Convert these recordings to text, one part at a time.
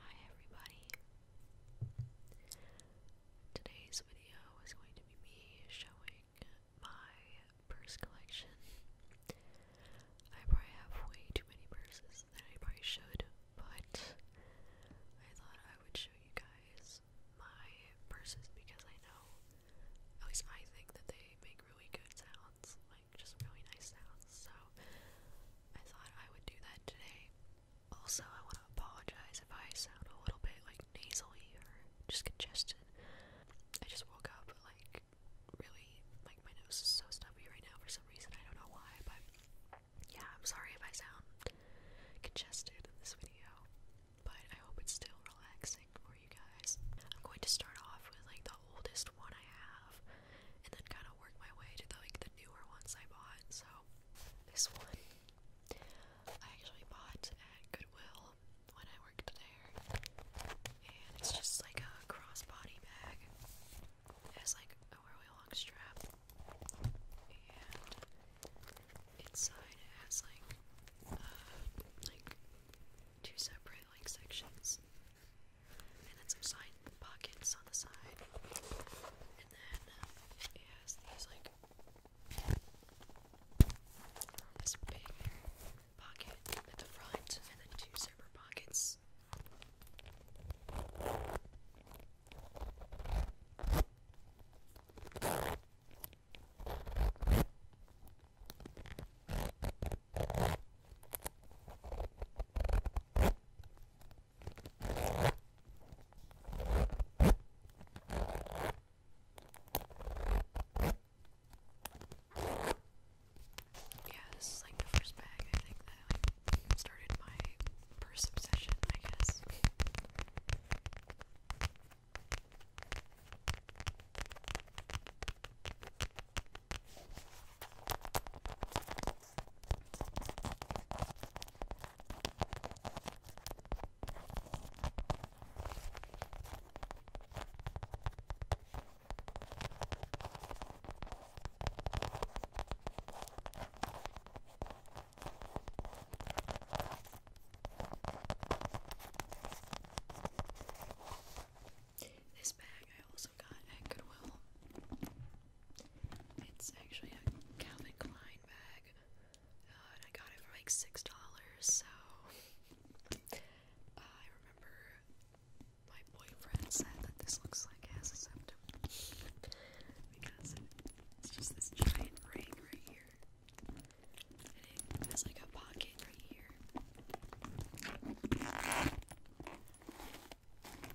Hi everybody. Today's video is going to be me showing my purse collection. I probably have way too many purses than I probably should, but I thought I would show you guys my purses because I know, at least I think that they make really good sounds, like just really nice sounds. So I thought I would do that today. Also, I want to apologize if I sound a little bit like nasally or just congested. I just woke up like really like my nose is so stuffy right now for some reason. I don't know why, but yeah, I'm sorry if I sound congested in this video, but I hope it's still relaxing for you guys. I'm going to start off with like the oldest one I have, and then kind of work my way to like the newer ones I bought. So this one I actually bought at Goodwill when I worked there, and it's just like a crossbody bag. It has like a really long strap, and inside it has like uh, two separate like sections and then some side pockets on the side, and then um, it has these like this big pocket at the front, and then two zipper pockets. Yeah, like the first bag I think that like started my purse obsession, I guess. This bag I also also got at Goodwill. It's actually a Calvin Klein bag, uh, I got it for like six dollars. So uh, I remember my boyfriend said that this looks like has a because it's just this giant ring right here, and it has like a pocket right here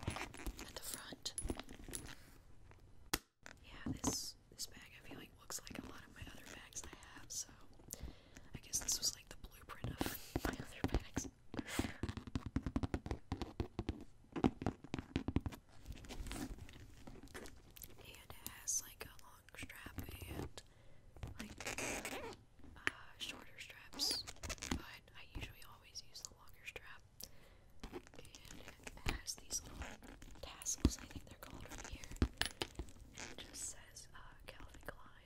at the front. Yeah, this this bag I feel like looks like a lot of my other bags I have, so I guess this was like the blueprint of my other bags. and it has like a long strap and like uh, shorter straps, but I usually always use the longer strap. And it has these little tassels, I think they're called, right here. And it just says uh, Calvin Klein.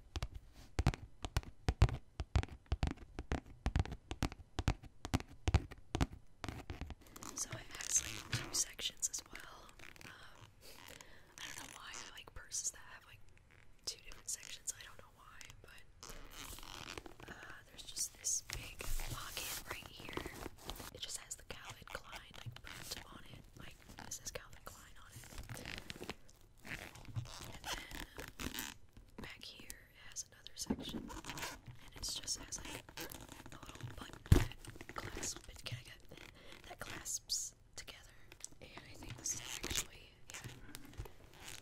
So it has like two sections as well. Um, I don't know why I like purses that have like two different sections. I don't know why, but uh, there's just this big pocket right here. It just has the Calvin Klein like print on it. Like this is Calvin Klein on it. And back here it has another section, and it's just has a little button that clasps, together. And actually, yeah.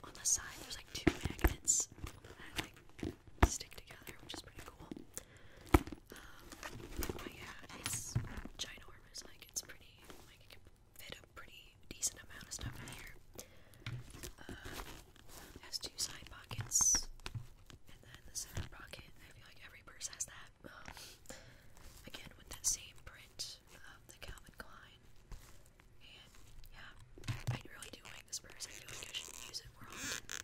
On the side, there's like two magnets that like stick together, which is pretty cool. Um, but yeah, it's ginormous. Like it's pretty, fit a pretty decent amount of stuff in here. Uh, has two side pockets, and then the center pocket. I feel like every purse has that. Um, again, with that same print of the Calvin Klein. And yeah, I really do like this purse. I feel I should use it more often.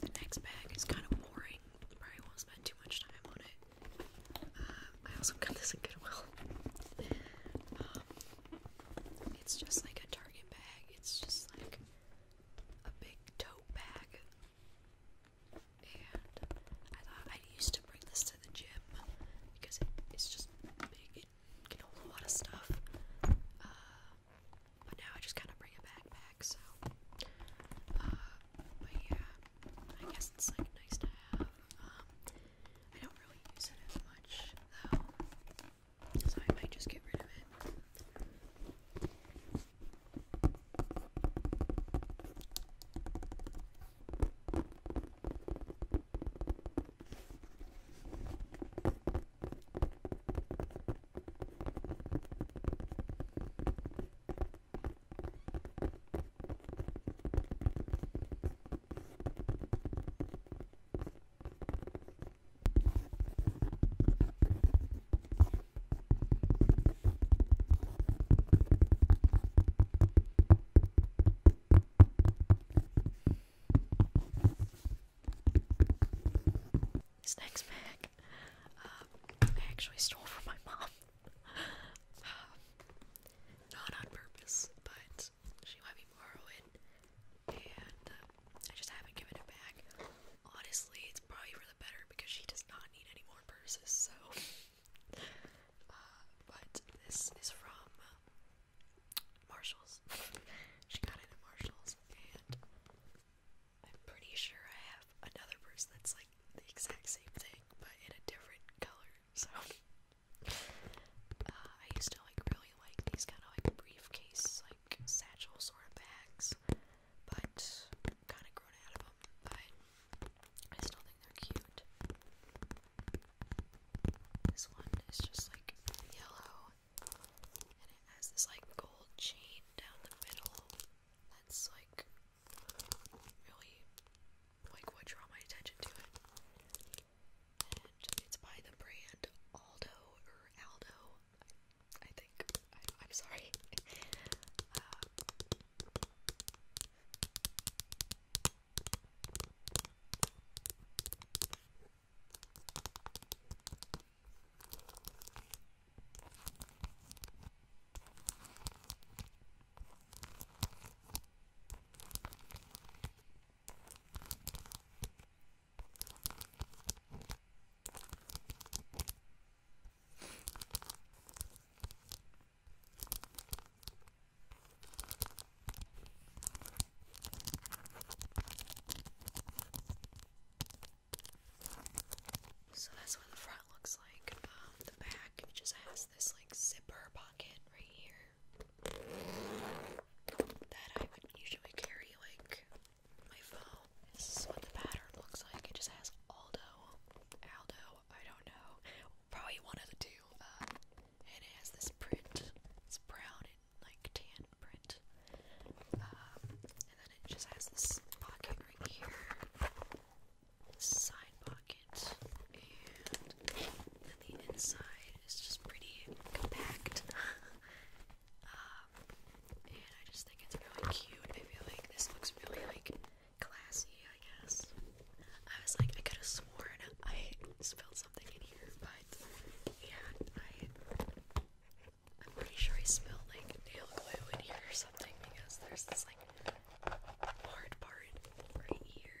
The next bag is kind of boring. Probably won't spend too much time on it. Um, I also got this in Goodwill. Um, it's just like a Target bag. It's just like a big tote bag. And I thought I used to bring this to the gym because it's just big. It can hold a lot of stuff. Uh, but now I just kind of bring a backpack, so. Uh, but yeah, I guess it's like nice to have. Um, I don't really use it as much though, so I might just get rid of it. This next um, I actually stole from my mom. Uh, not on purpose, but she might be borrowing, and uh, I just haven't given it back. Honestly, it's probably for the better because she does not need any more purses, so. Uh, but this is from Marshall's. she got it at Marshall's, and I'm pretty sure I have another purse that's like the exact same thing, but in a different color, so. Uh, I used to like really like these kind of like briefcase, like satchel sort of bags, but kind of grown out of them. But I still think they're cute. This one is just like yellow, and it has this like gold chain down the middle. That's like really like what draw my attention to it. And it's by the brand Aldo or Aldo, I think. I, am sorry. So that's what the front looks like. Um, the back just has this like zipper pocket right here that I would usually carry like my phone. This is what the pattern looks like. It just has Aldo, Aldo, I don't know, probably one of the two. Um, and it has this print. It's brown and like tan print. Um, and then it just has this pocket right here. this Side pocket pockets, and the inside is just pretty compact. Um, and I just think it's really cute. I feel like this looks really like classy. I guess I was like, I could have sworn I spilled something in here, but yeah, I. I'm pretty sure I smell like nail glue in here or something because there's this like hard part right here.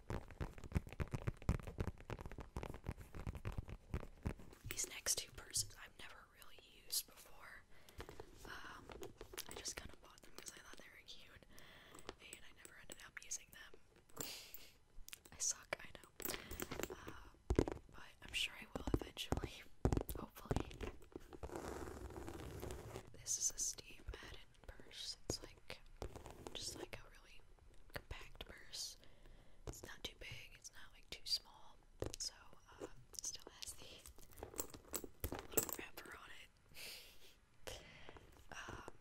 These next two persons I've never really used before. Um, I just kind of bought them because I thought they were cute, and I never ended up using them. I suck, I know. Uh, but I'm sure I will eventually. Hopefully. This is a Steve Madden purse. It's like just like a really compact purse. It's not too big, it's not like too small, so um, it still has the little wrapper on it. um,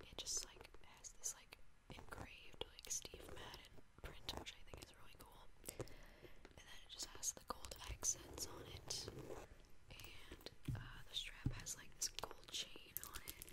it just like has this like engraved like Steve Madden print, which I think is really cool. And then it just has the gold accents on it, and uh, the strap has like this gold chain on it.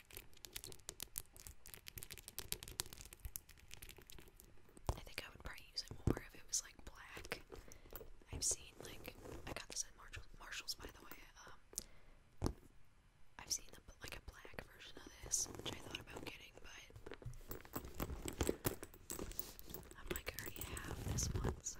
I think I would probably use it more if it was like black. I've seen like I got this at Marshall, Marshalls by the way. Um, I've seen the, like a black version of this, which I thought about getting, but I'm like I already have this one, so.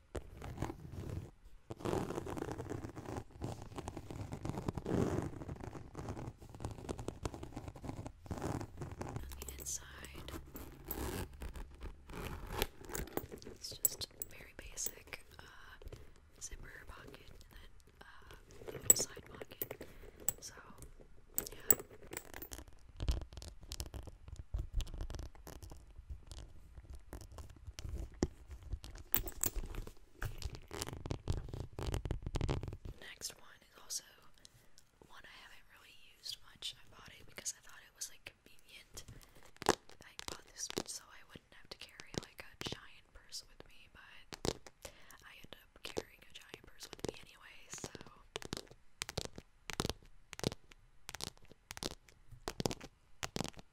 Nothing inside. It's just very basic uh, zipper pocket and then uh, little side pocket. So, yeah. Next one is also one I haven't really used much. I bought it because I thought it was like convenient. I bought this so I wouldn't have to carry like a giant purse with me, but I end up carrying a giant purse with me anyway, so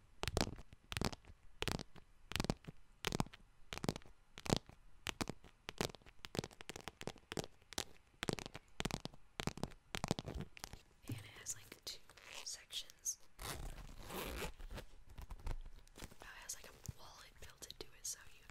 And it has like two sections. Oh, it has like a wallet built into it, so you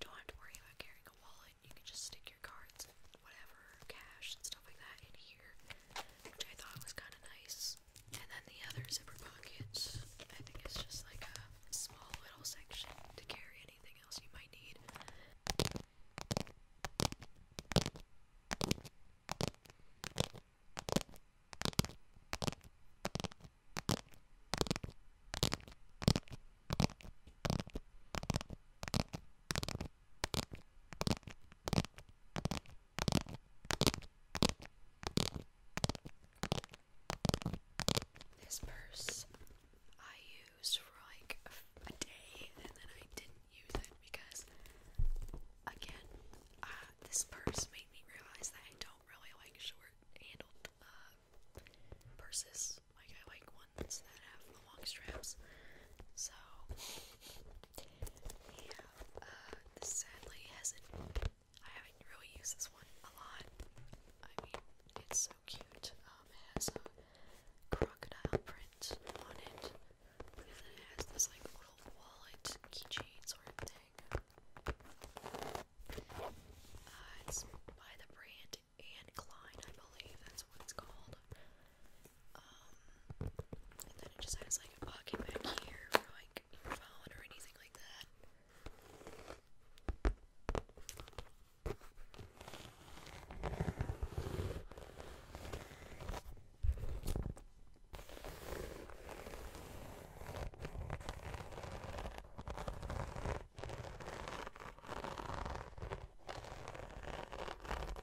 don't have to worry about carrying a wallet. You can just stick your cards, whatever, cash, and stuff like that in here which I thought was kind of nice. And then the other zipper pockets, I think it's just like a small little section to carry anything else you might need. This purse I used for like a, day and then I didn't use it because, again, uh, this purse made me realize that I don't really like short handled uh, purses. Like, I like ones that have long straps. So, we have, uh, this sadly hasn't, I haven't really used this one a lot. I mean, it's so cute. Um, it has a crocodile print on it, and then it has this, like, little wallet keychain sort of thing. Uh, it's by the brand Anne Klein, I believe that's what it's called. Um, and then it just has like a pocket back here for like your phone or anything like that.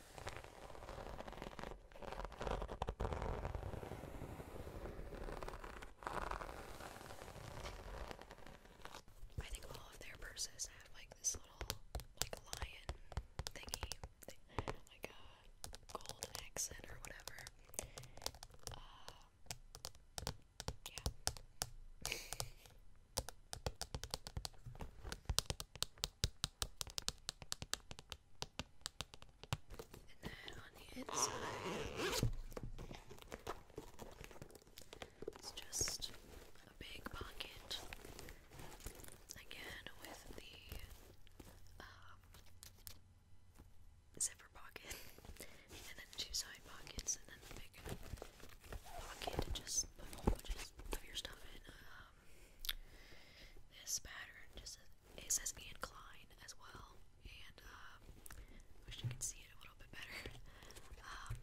I think all of their purses have like this little like lion thingy, like a uh, gold accent or whatever. Uh, yeah. And then on the inside, it's just a big pocket. Again, with the um, zipper pocket, and then two side pockets, and then the big pocket to just put your stuff in. Um, this pattern just it says Anne Klein as well, and um, wish you could see it a little bit better. Um,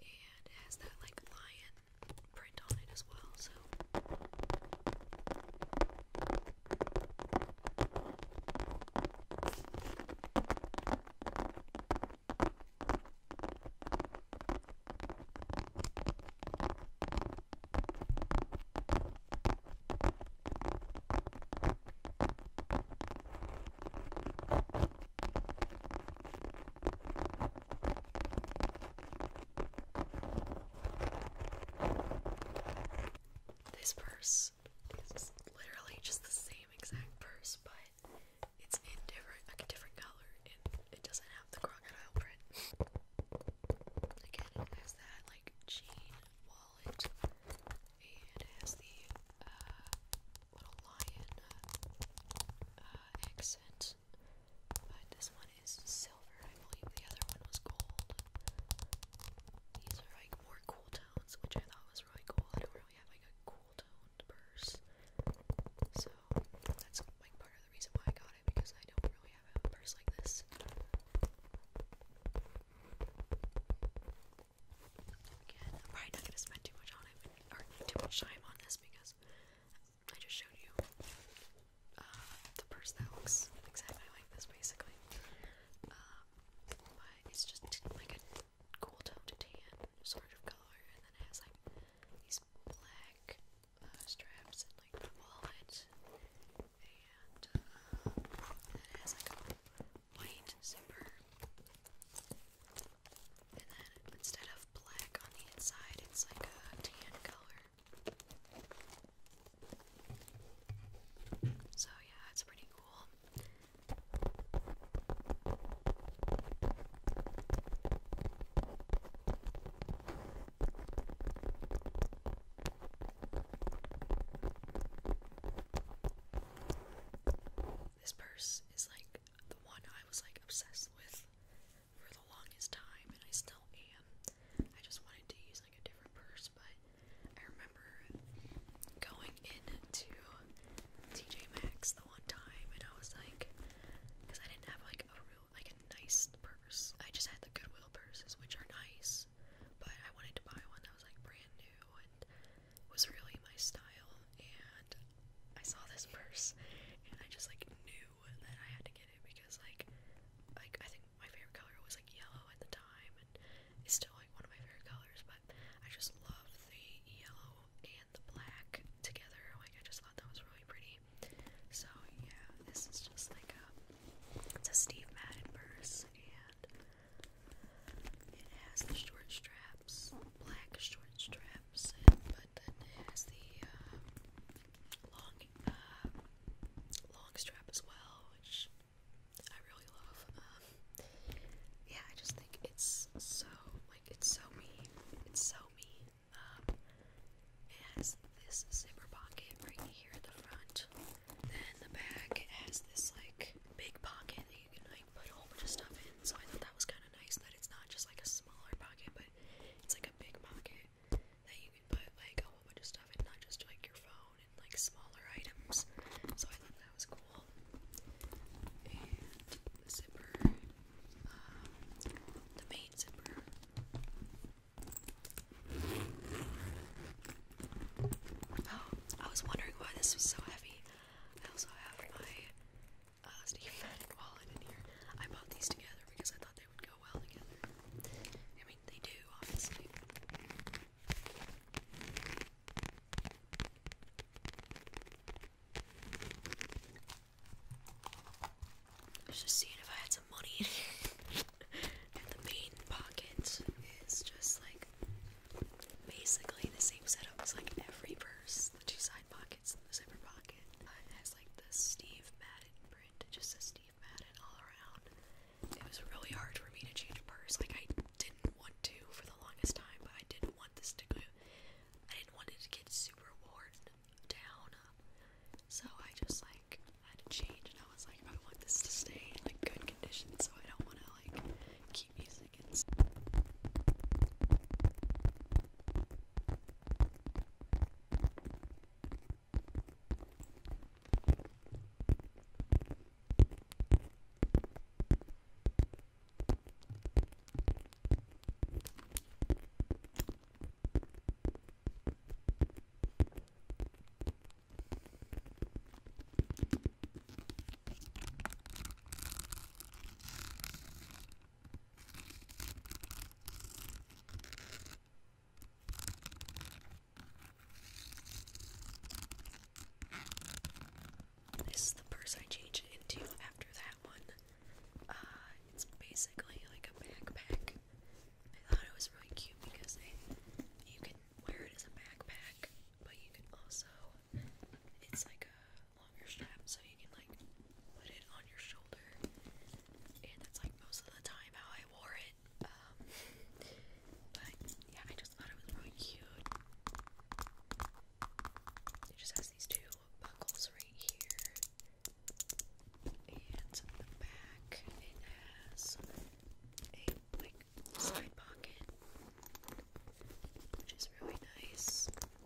and has that like lion print on it as well, so. This purse is literally just the same exact purse, but it's in different like a different color it doesn't have the crocodile print. Again, it has that like chain wallet, and it has the uh, little lion uh, accent. But this one is silver. I believe the other one was gold. These are like more cool tones, which I thought was really cool. I don't really have like a cool toned purse, so that's like part of the reason why I got because I don't really have a purse like this. Again, I'm probably not gonna spend too much on it, or too much time on this because I just showed you uh, the purse that looks exactly like this, basically. Um, but it's just like a cool tone tan sort of color, and then it has like these black uh, straps and like the wallet, and uh, it has like a white zipper. And then instead of black on the inside, it's like a tan color. So yeah, it's pretty cool. This purse is like the one I was like obsessed with for the longest time, and I still am. I just wanted to use like a different purse, but I remember going into TJ Maxx the one time, and I was like, I didn't have like a real like a nice purse. I just had the Goodwill purses, which are nice, but I wanted to buy one that was like brand new and was really my style. And I saw this purse, and I just like knew that I had to get it because like, like I think my favorite color was like yellow at the time, and it's still like one of my favorite colors. But I just love the yellow and the black together. Like I just thought that was really pretty. So yeah, this is just like a it's a Steve Madden purse and it has the short straps, black short straps, and, but then it has the um, long uh, long strap as well, which I really love. Um, yeah, I just think it's so like it's so me. It's so me. It has this zipper pocket right here at the front. Then the back has this like big pocket that you can like put a whole bunch of stuff in. So I thought that was kind of nice that it's not just like a smaller pocket, but it's like a big pocket that you can put like a whole bunch of stuff in, not just like your phone and like smaller items. So I thought that was cool. And the zipper. Um, the main Oh, I was wondering why this was so heavy. I also have my uh, Steve wallet in here. I bought these together because I thought they would go well together. I mean, they do, obviously. I was just seeing if I had some money in here. and the main pocket is just like basically the same setup as like every purse. The two side pockets and the zipper pocket. Uh, it has like the Steve Madden print. It just says Steve Madden all around. It was really hard for me to change a purse. Like I didn't want to for the longest time, but I didn't want this to go. I didn't want it to get super worn down. So I just like had to change, and I was like, I want this to stay in like good condition, so I don't want to like keep using it. This is the purse I changed into after that one. Uh, it's basically like a backpack. I thought it was really cute because they, you can wear it as a backpack, but you can also, it's like a longer strap, so you can like put it on your shoulder. And that's like most of the time how I wore it. Um, but yeah, I just thought it was really cute. It just has these two buckles right here. And the back, it has a like side pocket, which is really nice.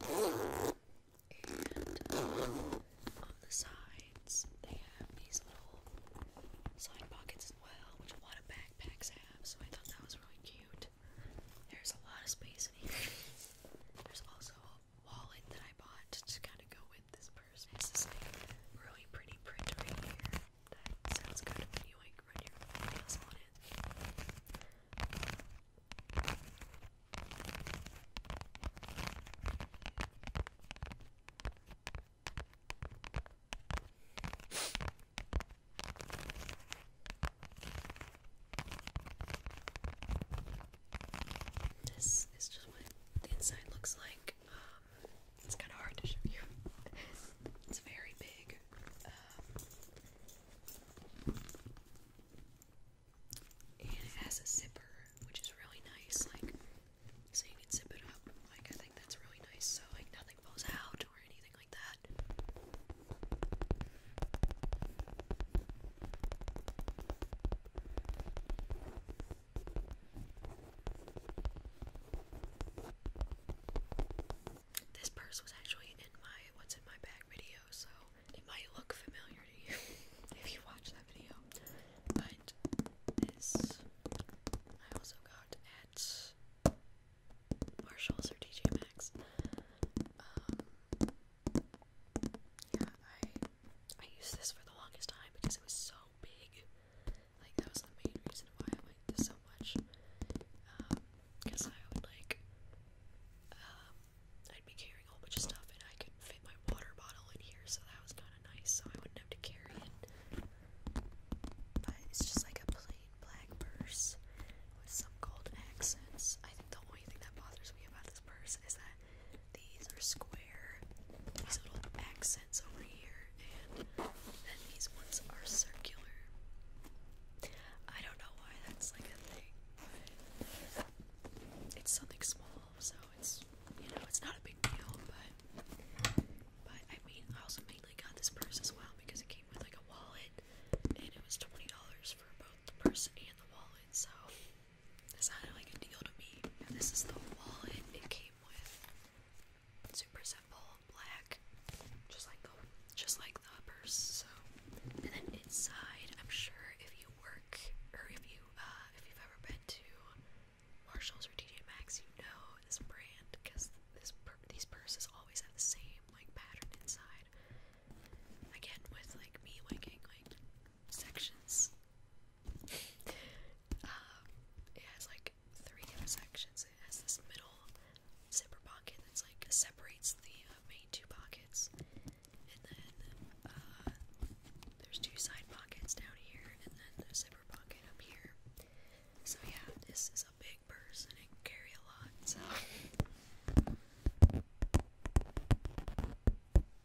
And uh, on the sides, they have these little side pockets as well, which a lot of backpacks have. So I thought that was really cute. There's a lot of space in here. There's also wallet that I bought to kind of go with this purse. It's this like really pretty print right here. That sounds good when you like run your nails on it. This is just what the inside looks like. Um, it's kind of hard to show you. it's very big. Um, it has a zipper, which is really nice. Like, so you can zip it up. Like, I think that's really nice. So like, nothing falls out or anything like that. This purse was actually in my what's in my bag video, so it might look familiar to you if you watch that video. But this I also got at Marshalls or DJ Maxx. Um, yeah, I I used this for the longest time because it was so big. Like that was the main reason why I liked this so much. because um, I would like um I'd be carrying a whole bunch of stuff and I could fit my water bottle in here, so that was kinda nice, so I wouldn't have to carry it. But it's just like a plain black purse with some gold accents. I think the only thing that bothers me about this purse is that these are square. These little accents over here, and then these ones are circular. I don't know why that's like a thing, but it's something small, so it's you know it's not a big deal. But but I mean, I also mainly got this purse as well because it came with like a wallet, and it was twenty dollars for both the purse and the wallet. So it sounded like a deal to me. this is the wallet it came with. Super simple, black, just like the, just like the purse. So, and then inside, I'm sure if you work or if you uh, if you've ever been to Marshalls or TJ Maxx, you know this brand because this these purses always have the same like pattern inside. Again, with like me liking like sections. Um, it has like three different sections. It has this middle zipper pocket that's like separates the uh, main two pockets, and then uh, there's two side pockets down here, and then the zipper pocket up here. So yeah, this is a big purse and it can carry a lot. So.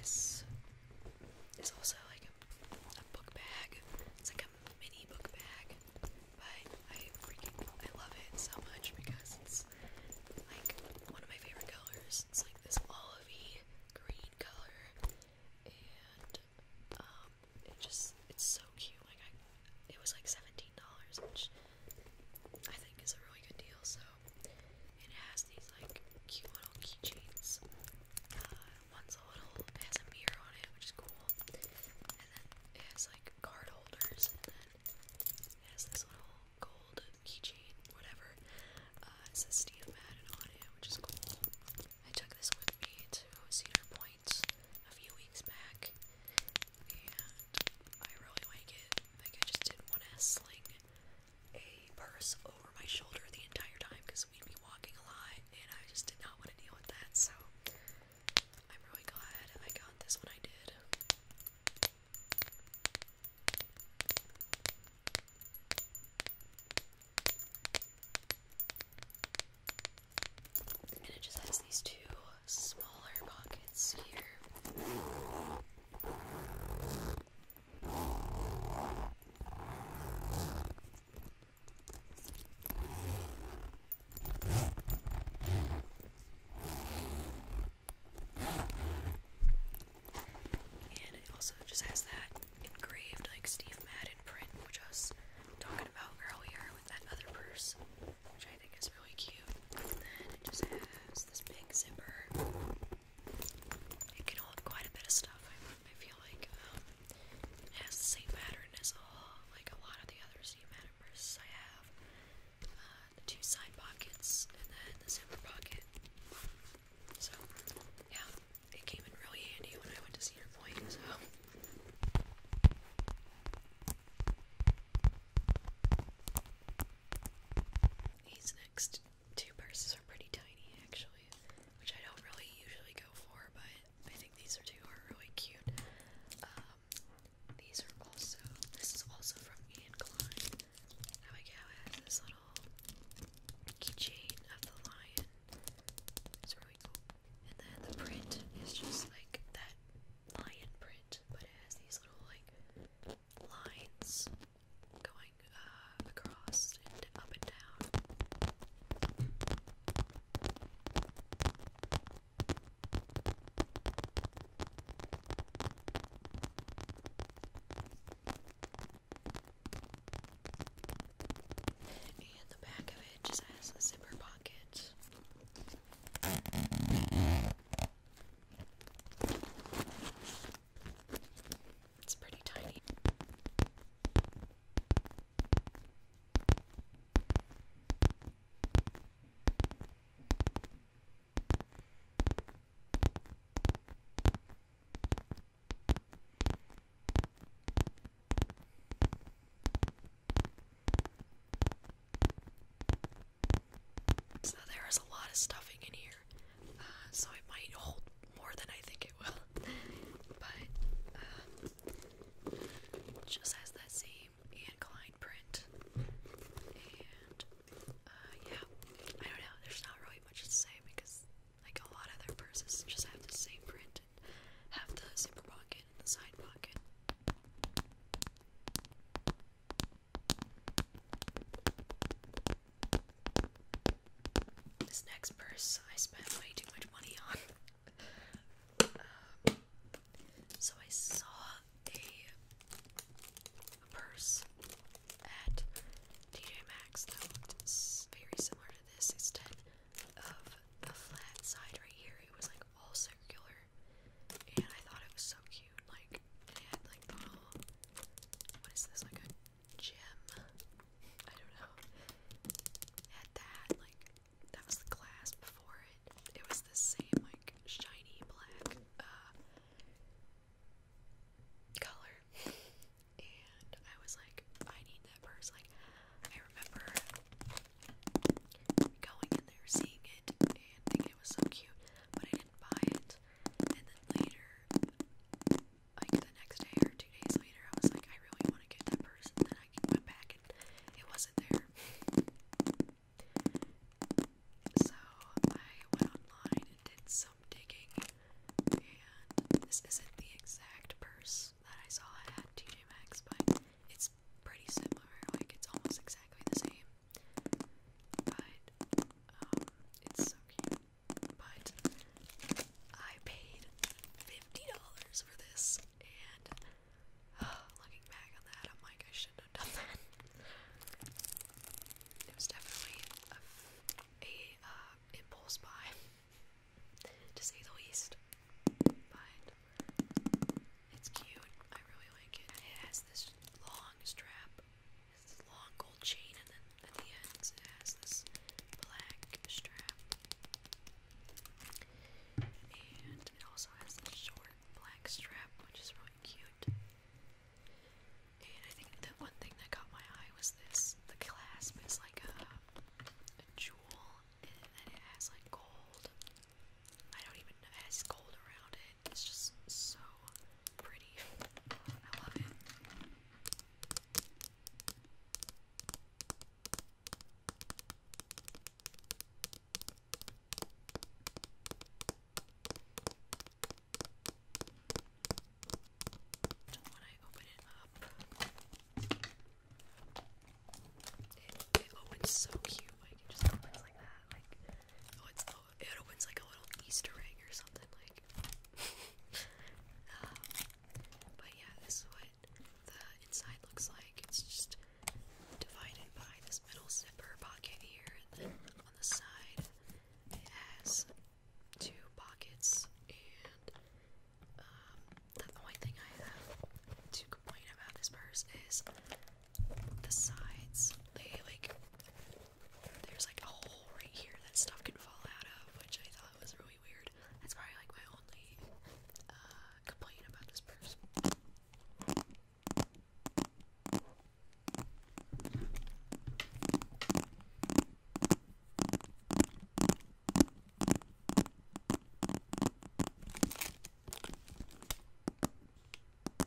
This is also like a, book bag. It's like a mini book bag, but I freaking I love it so much because it's like one of my favorite colors. It's like this olivey green color, and um, it just it's so cute. Like I, it was like seventeen which I think is a really good deal. So it has these like cute little keychains. Uh, one's a little it has a mirror on it, which is cool, and then it has like card holders, and then it has this little gold keychain, whatever. Uh, it says Steve Madden on it, which is cool. I took this with me to Cedar Point a few weeks back, and I really like it. Like, I just didn't want to sling a purse over my shoulder the entire time because we'd be walking a lot, and I just did not want to deal with that. So, I'm really glad I got this one. I did. And it just has these two smaller pockets here. And it also just has that engraved, like Steve Madden print, which I was talking about earlier with that other purse which I think is really cute. And then it just has this big zipper. It can hold quite a bit of stuff. I, feel like um, it has the same pattern as all, like a lot of the other Z Madam I have. Uh, the two side pockets and then the zipper pocket. So, yeah, it came in really handy when I went to Cedar Point. These next two purses are pretty tiny actually, which I don't really usually go for, but I think these are two are really cute. Um, these are also, this is also from Ian Klein. I like how it has this little keychain of the lion. It's really cool. And then the print is just like that lion print, but it has these little like lines going uh, across and up and down. And the back of it just has a zipper pocket. It's pretty tiny. So there is a lot of stuffing in here, uh, so it might hold more than I think it will. but um, just has that same Anne Klein print, and uh, yeah, I don't know. There's not really much to say because, like a lot of their purses, just have the same print and have the zipper pocket and the side pocket. This next purse I spent way too much money on. Um, so I saw a, purse at TJ Maxx that looked very similar to this. Instead of the flat side right here, it was like all circular and I thought it was so cute. Like it had like the what is this like a gem? I don't know. had that like that was the glass before it. It was the same like shiny black uh, color, and I was like, I need that purse. Like I remember going in there, seeing it and think it was so cute, but I didn't buy it. And then later, like the next day or two days later, I was like, I really want to get that purse. And then I went back and it wasn't there. So I went online and did some digging, and this isn't the exact purse that I saw at TJ Maxx, but it's pretty similar. Like it's almost exactly the same. But um, it's so cute. But I paid fifty dollars for this, and looking back on that, I'm like, I shouldn't have done that. it was definitely a, a uh, impulse buy, to say the least. But it's cute. I really like it. it has this long strap, this long gold chain, and then at the ends it has this black strap. And it also has this short black strap, which is really cute. And I think the one thing that caught my eye was this. The clasp is like a, jewel, and then it has like gold. I don't even It has gold around it, it's just so pretty. I love it. And when I open it up, it, it so cute. Like it just opens like that. Like oh, it's oh, it opens like a little Easter egg or something like. Um, but yeah, this is what the inside looks like. It's just divided by this middle zipper pocket here, and then on the side it has two pockets. And um, the only thing I have to complain about this purse is the sides. They like there's like a hole right here that stuff can fall out of, which I thought was really weird. That's probably like my only uh, complaint about this purse.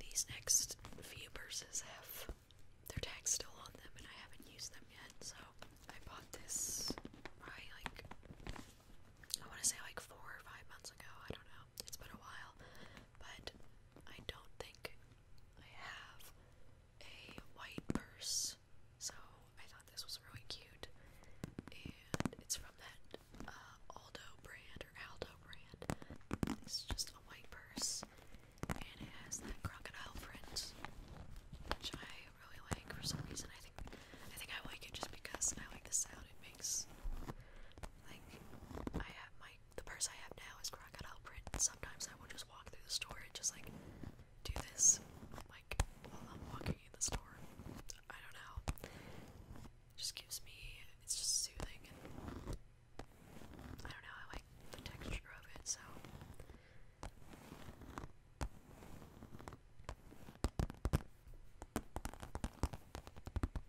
These next few purses have their tags still on them, and I haven't used them yet, so I bought this probably like I want to say like four or five months ago. I don't know. It's been a while, but I don't think I have a white purse, so I thought this was really cute. And it's from that uh, Aldo brand or Aldo brand. It's just a white purse, and it has that crocodile print, which I really like for some reason. I think I think I like it just because I like the sound it makes. Like I have my the purse I have now is crocodile print. Sometimes I will just walk through the store and just like do this like while I'm walking in the store. I don't know. It just gives me it's just soothing and I don't know, I like the texture of it, so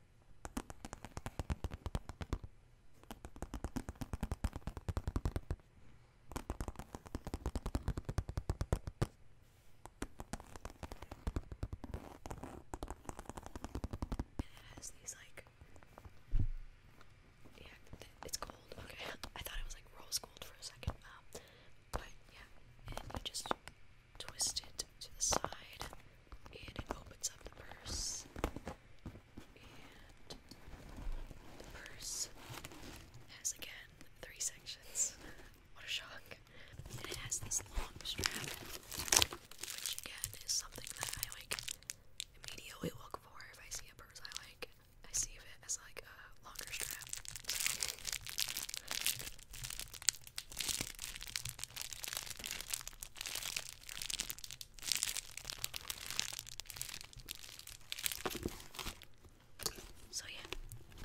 it has these like yeah, it's gold. Okay, I thought it was like rose gold for a second. Um, but yeah, and you just twist it to the side and it opens up the purse, and the purse has again three sections. what a shock! And it has this long strap, which again is something that I like immediately look for if I see a purse I like. I see it as like a longer strap. So yeah,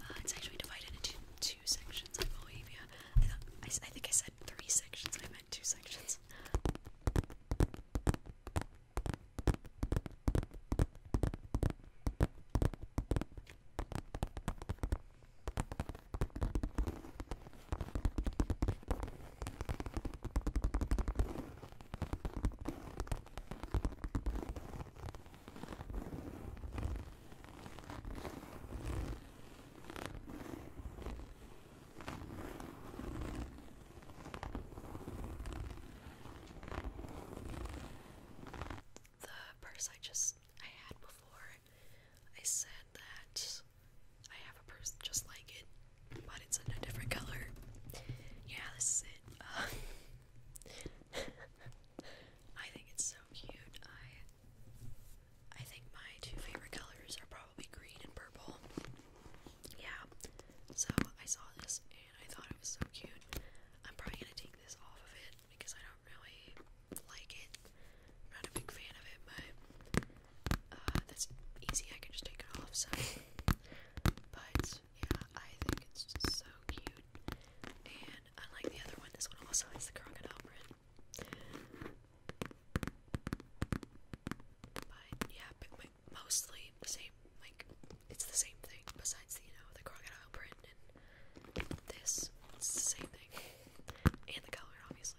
uh, it's actually divided into two sections, I believe. Yeah, I, thought, I think I said three sections. I meant two sections. The purse I just I had before, I said said that I have a purse just like it, but it's in a different color. Yeah, this is it. I think it's so cute. I I think my two favorite colors are probably green and purple. Yeah. So I saw this and I thought it was so cute. I'm probably gonna take this off of it because I don't really like it not a big fan of it, but uh, that's easy. I can just take it off. So, but yeah, I think it's just so cute. And unlike the other one, this one also has the crocodile print. But yeah, mostly the same. Like it's the same thing. Besides, you know, the crocodile print and this, it's the same thing, and the color, obviously.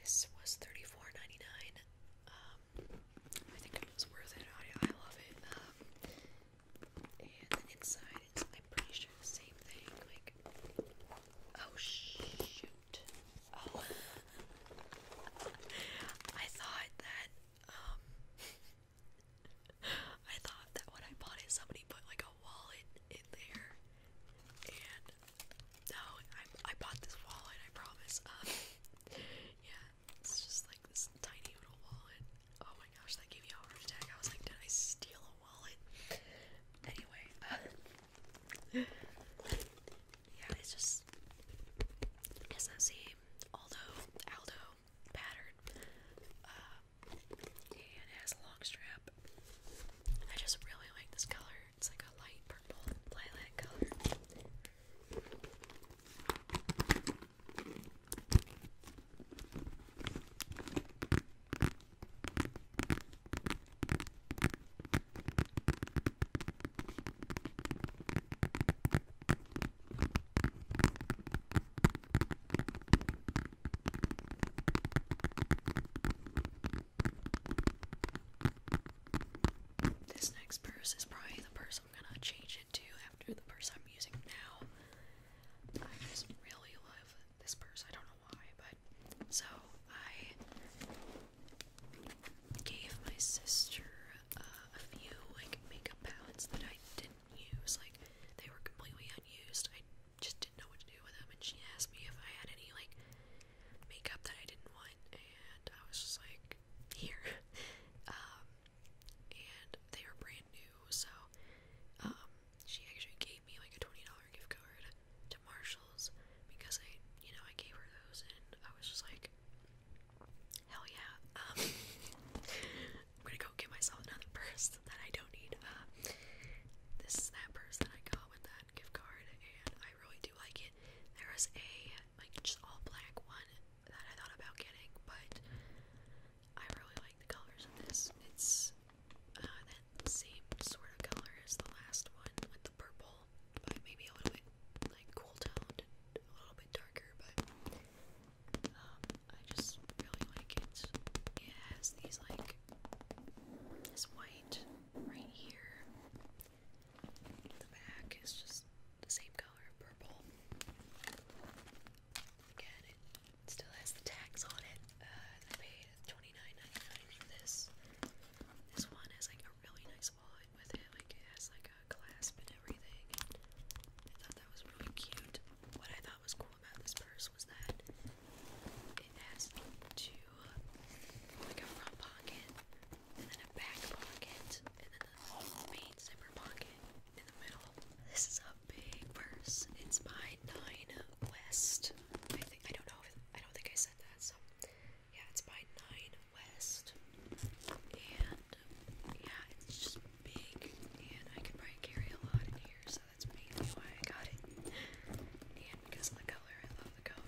This was thirty four ninety nine. Um, I think it was worth it. I, love it. Um, and the inside is, I'm pretty sure, the same thing. Like, oh shoot. Oh. I thought that, um, I thought that when I bought it, somebody put like a wallet in there, and no, I, I bought this wallet. I promise. Um, yeah, it's just like this tiny little wallet. Oh my gosh, that gave me a heart attack. I was like, did I steal a wallet? Anyway, yeah, it's just SSC. Although Aldo pattern, uh, and it has a long strap. I just really like this color. It's like a light purple lilac color. This next purse is probably the purse I'm gonna change it to after the purse I'm using now. I just really love this purse, I don't know why, but so I gave my sister uh, a few like makeup palettes that I didn't use. Like they were completely unused. I just didn't know what to do with them, and she asked me if I had any like makeup that I didn't want, and I was just like, here. um, and they were brand new, so um, she actually gave me like a twenty dollar gift card to Marshalls because I, you know, I gave her those, and I was just like, Hell yeah. Um, I'm gonna go get myself another purse that I don't need. Uh, this is that purse that I got with that gift card, and I really do like it. There is a like just all black one that I thought about getting, but I really like the colors of this. It's uh, same sort of color as the last one with the purple, but maybe a little bit like cool toned, a little bit darker, but I just really like it. It has these like this white right here. The back is just the same color, purple. Again, it still has the tags on it. Uh, paid 29 for this. This one has like a really nice wallet with it. Like it has like a clasp and everything. I thought that was really cute. What I thought was cool about this purse was that it has two, like a front pocket, and then a back pocket, and then the main zipper pocket in the middle. This is a big purse. It's my Nine West. I think I don't know. I don't think I said that. So yeah, it's by Nine West, yeah, it's just big, and I can probably carry a lot in here, so that's mainly why I got it. And because of the color, I love the color.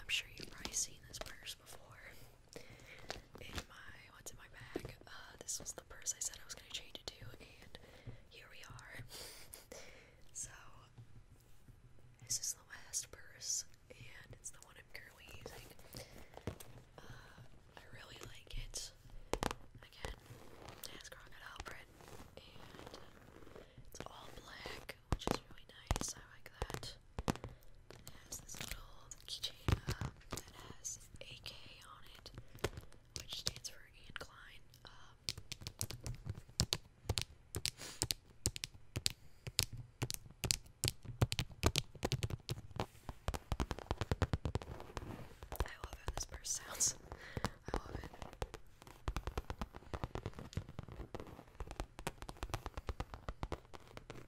I'm sure you've probably seen this purse before in my what's in my bag. Uh, this was the purse I said I was gonna change it to, and here we are. so this is the last purse, and it's the one I'm currently using. Uh, I really like it. Again, it has and it's all black, which is really nice. I like that it has this little keychain uh, that has AK on it, which stands for Ian Klein. Um, I love how this purse sounds. I love it.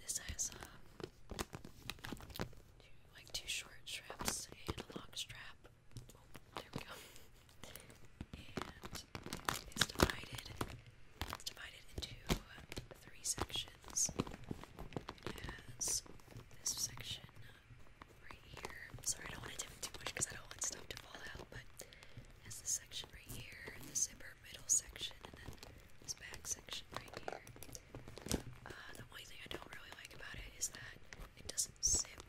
This has uh, like two short straps and a long strap. Oh, there we go. And it's divided. divided into three sections. It has this section um, right here. sorry, I don't want to dip too much because I don't want stuff to fall out, but it has section right here, the zipper middle section, and then this back section right here. Uh, the only thing I don't really like about it is that it doesn't zip,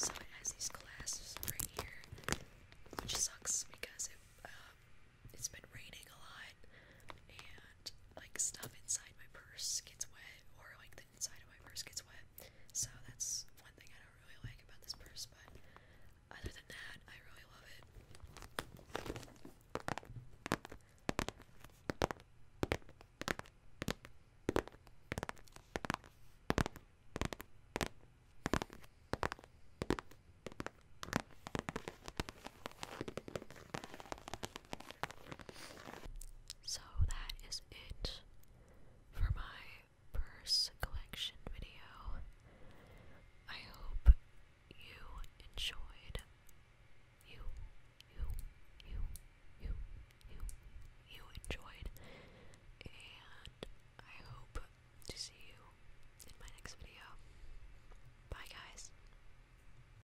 so it has these clasps right here, which sucks because it, has um, been raining a lot, and like stuff inside my purse gets wet, or like the inside of my purse gets wet. So that's one thing I don't really like about this purse, but other than that, I really love it. So that is it for my purse collection video. I hope you enjoyed. You, you, you, you, you, you enjoyed. And I hope to see you in my next video. Bye, guys.